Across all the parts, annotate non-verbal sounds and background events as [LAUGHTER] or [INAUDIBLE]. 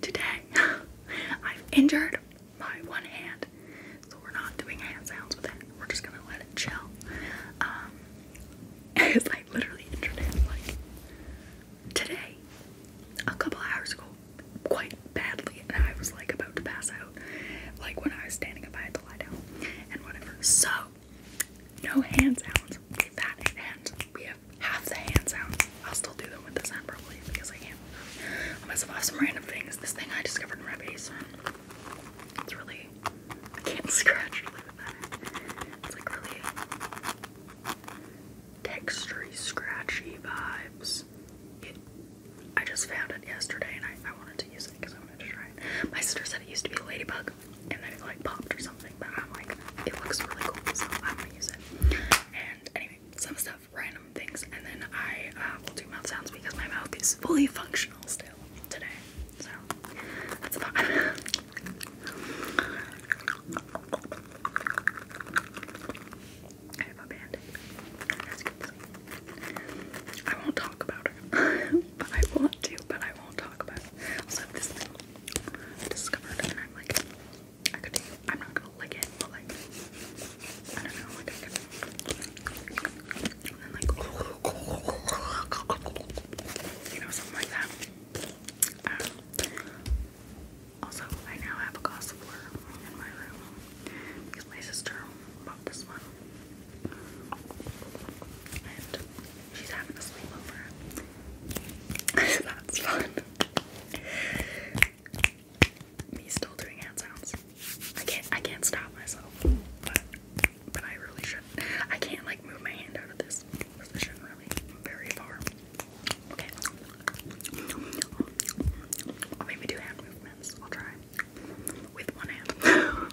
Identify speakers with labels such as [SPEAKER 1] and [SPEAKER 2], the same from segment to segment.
[SPEAKER 1] today [LAUGHS] I've injured my one hand, so we're not doing hand sounds with it. We're just gonna let it chill. Um, [LAUGHS] it's like literally injured it like today, a couple hours ago, quite badly, and I was like about to pass out, like when I was standing up, I had to lie down and whatever. So. No hand sounds. with that hand we have half the hand sounds. I'll still do them with this hand probably because I can't. I must have off some random things. This thing I discovered in Rebase. It's really can't [LAUGHS] scratch It's like really textury, scratchy vibes. I just found it yesterday and I, I wanted to use it because I wanted to try it. My sister said it used to be a ladybug and then it like popped or something but I'm like, it looks really cool, so I'm gonna use it. And anyway, some stuff, random things, and then I uh, will do mouth sounds because my mouth is fully [LAUGHS] functional still today. So that's about it. [LAUGHS] I have a band I won't talk about it. [LAUGHS] but I want to, but I won't talk about it. Also, this thing I discovered, and I'm like, I am not gonna lick it, but like, I don't know, like I can. and um, also, I now have a gossiper in my room because my sister bought this one, She's having a sleepover. [LAUGHS] That's fun. Me still doing hand sounds. I can't I can't stop myself. But but I really should. I can't like move my hand out of this position really very far. Okay. I'll maybe do hand movements. I'll try. With one hand. [LAUGHS]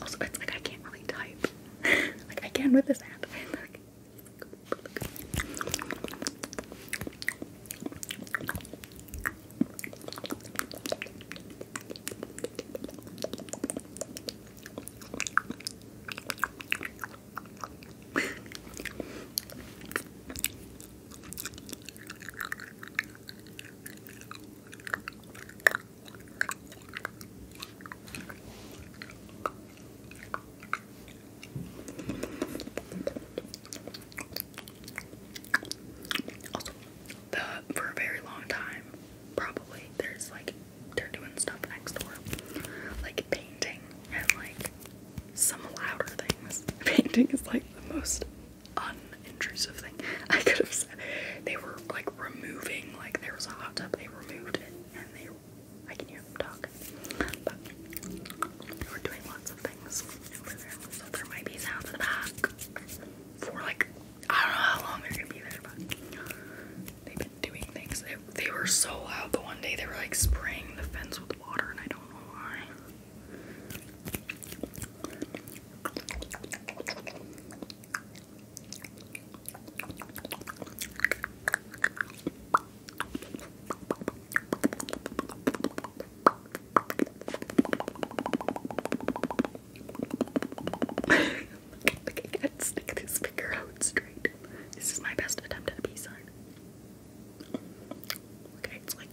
[SPEAKER 1] Also, it's like I can't really type. [LAUGHS] like I can with this hand. [LAUGHS] Also, the, for a very long time, probably there's like they're doing stuff next door, like painting and like some louder things. [LAUGHS] Painting is like the most unintrusive thing [LAUGHS] I could have said. They were like removing, like there was a hot tub, they removed it, and they I can hear them talk. But they were doing lots of things over there, so there might be sounds in the back for like I don't know how long they're gonna be there, but doing things. They, were so loud the one day they were like spraying the fence with water, and I don't know why. [LAUGHS] Look, look, I can stick this finger out straight. This is my best attempt at a peace sign. Okay, it's like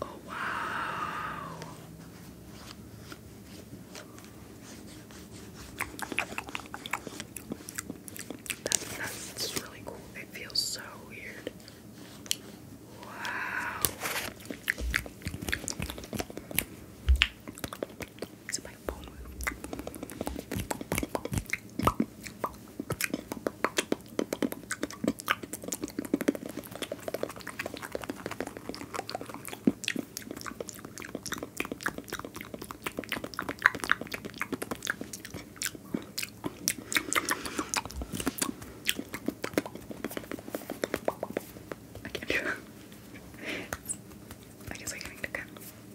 [SPEAKER 1] Oh, wow. That's, that's, really cool. It feels so weird. Wow trying to I can't [LAUGHS] I guess I can't do that.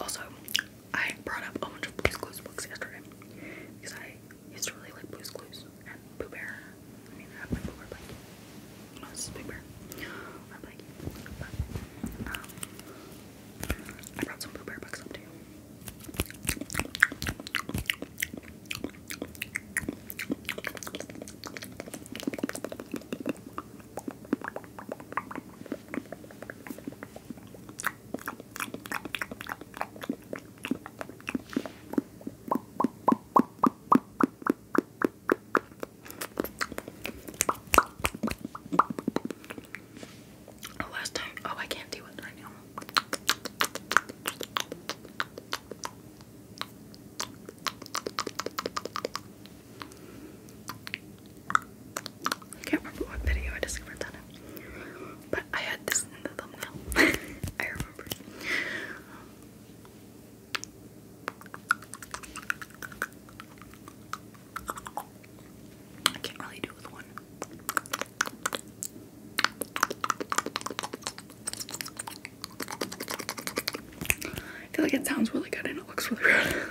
[SPEAKER 1] Also, I brought up a bunch of Blue's Clues books yesterday because I used to really like Blue's Clues and Pooh Bear. I mean, I have my Pooh Bear blanket. No, this is Big Bear. My blanket. But, um, I brought some Pooh Bear books up too. Oh, last time. Oh, I can't do it right now. I can't remember what video I discovered that But I had this in the thumbnail. [LAUGHS] I remember. I can't really do it with one. I feel like it sounds really good and it looks really good. [LAUGHS]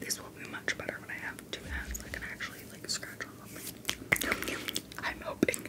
[SPEAKER 1] This will be much better when I have two hands. I can actually like scratch on them. I'm hoping.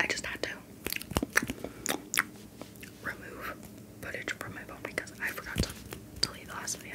[SPEAKER 1] I just had to remove footage from my phone because I forgot to delete the last video.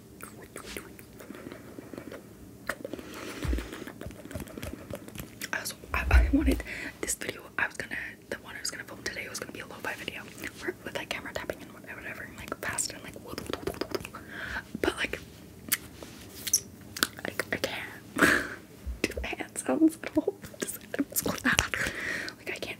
[SPEAKER 1] Also, I, I wanted this video. I was gonna, the one I was gonna film today was gonna be a lo-fi video, where, with like camera tapping and whatever, whatever and like fast and like. But like, I, I can't [LAUGHS] do hand sounds at all. I'm so glad. Like I can't.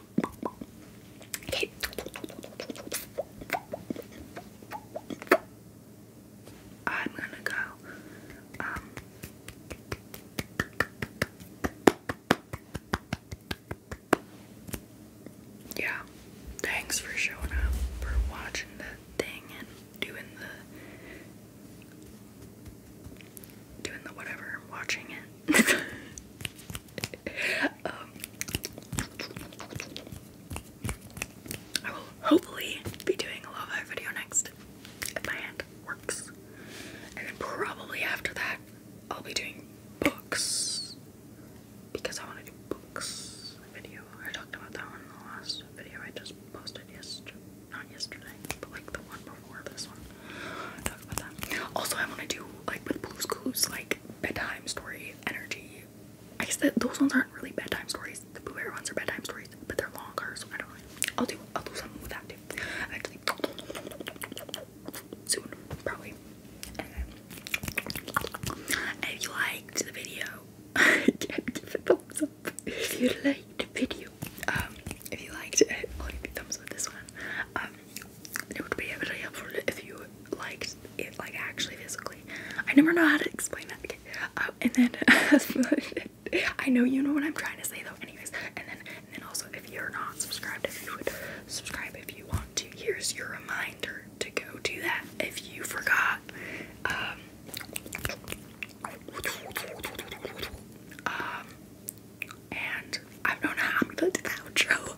[SPEAKER 1] Okay. I'm gonna go. Um, yeah. Thanks for showing up, for watching the thing, and doing the doing the whatever, watching it. [LAUGHS] Um, I will hopefully be doing a love eye video next if my hand works. And then probably after that, I'll be doing books because I want to do books video. I talked about that one in the last video I just posted yesterday. Not yesterday, but like the one before this one. talked about that. Also, I want to do like with Blue's Clues, like bedtime story energy. I guess that those ones aren't really bedtime stories. The Pooh Bear ones are bedtime stories, but they're longer, so I don't really. I'll do not i will do i will do something with that too. Eventually, soon probably. if you liked the video, [LAUGHS] give it thumbs up. If you liked the video, um, if you liked it, give you thumbs up this one. Um, it would be really helpful if you liked it, like actually physically. I never know how to explain that. Uh, and then [LAUGHS] I know you know what I'm trying to say though. Anyways, and then and then also if you're not subscribed, if you would subscribe if you want to. Here's your reminder to go do that if you forgot. um, um and I don't know how I'm gonna do the outro.